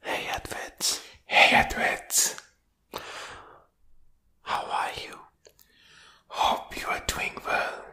Hey Edward. Hey Edward. How are you? Hope you are doing well.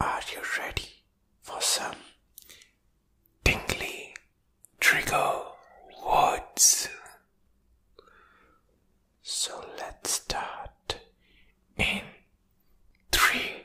Are you ready for some tingly trigger words? So let's start in three,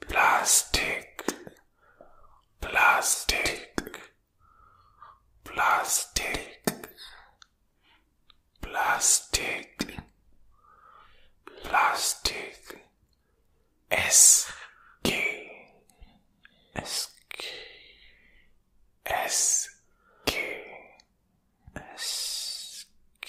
plastic plastic plastic plastic plastic s k s k s k s k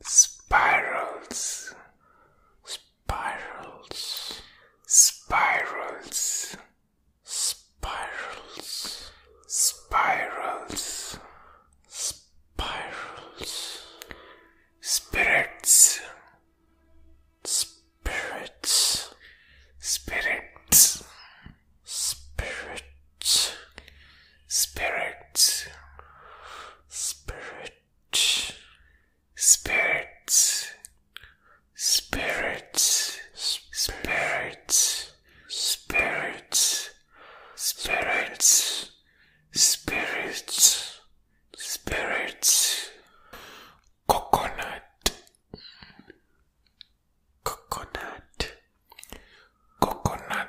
spirals, spirals, spirals, spirals, spirals, spirals, spirits, spirits, spirits, spirits, spirits, spirits spirits, spirits, spirits, spirits, spirits, spirits, spirits, coconut, coconut, coconut,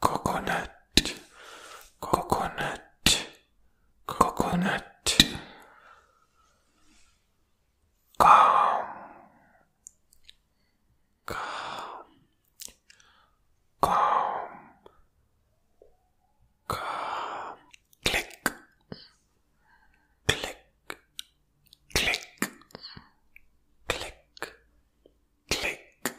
coconut coconut coconut calm calm calm calm click click click click click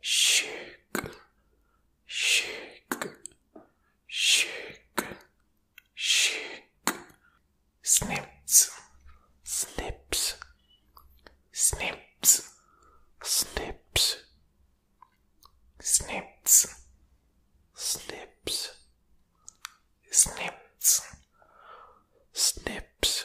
shake, shake, shake, shake, snips, snips, snips, snips, snips, snips, snips, snips,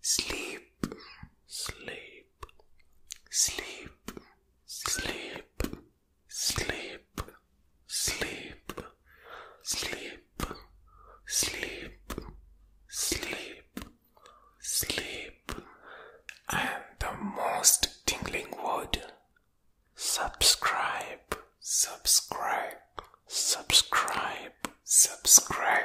sleep, sleep, sleep, sleep, sleep, sleep, sleep, sleep, sleep, sleep, and the most tingling word subscribe, subscribe, subscribe, subscribe,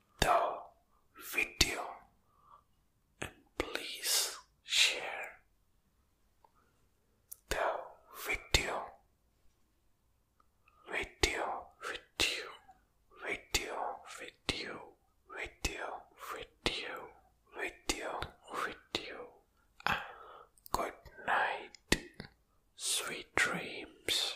the video and please share the video video video video video video video video video and ah, good night sweet dreams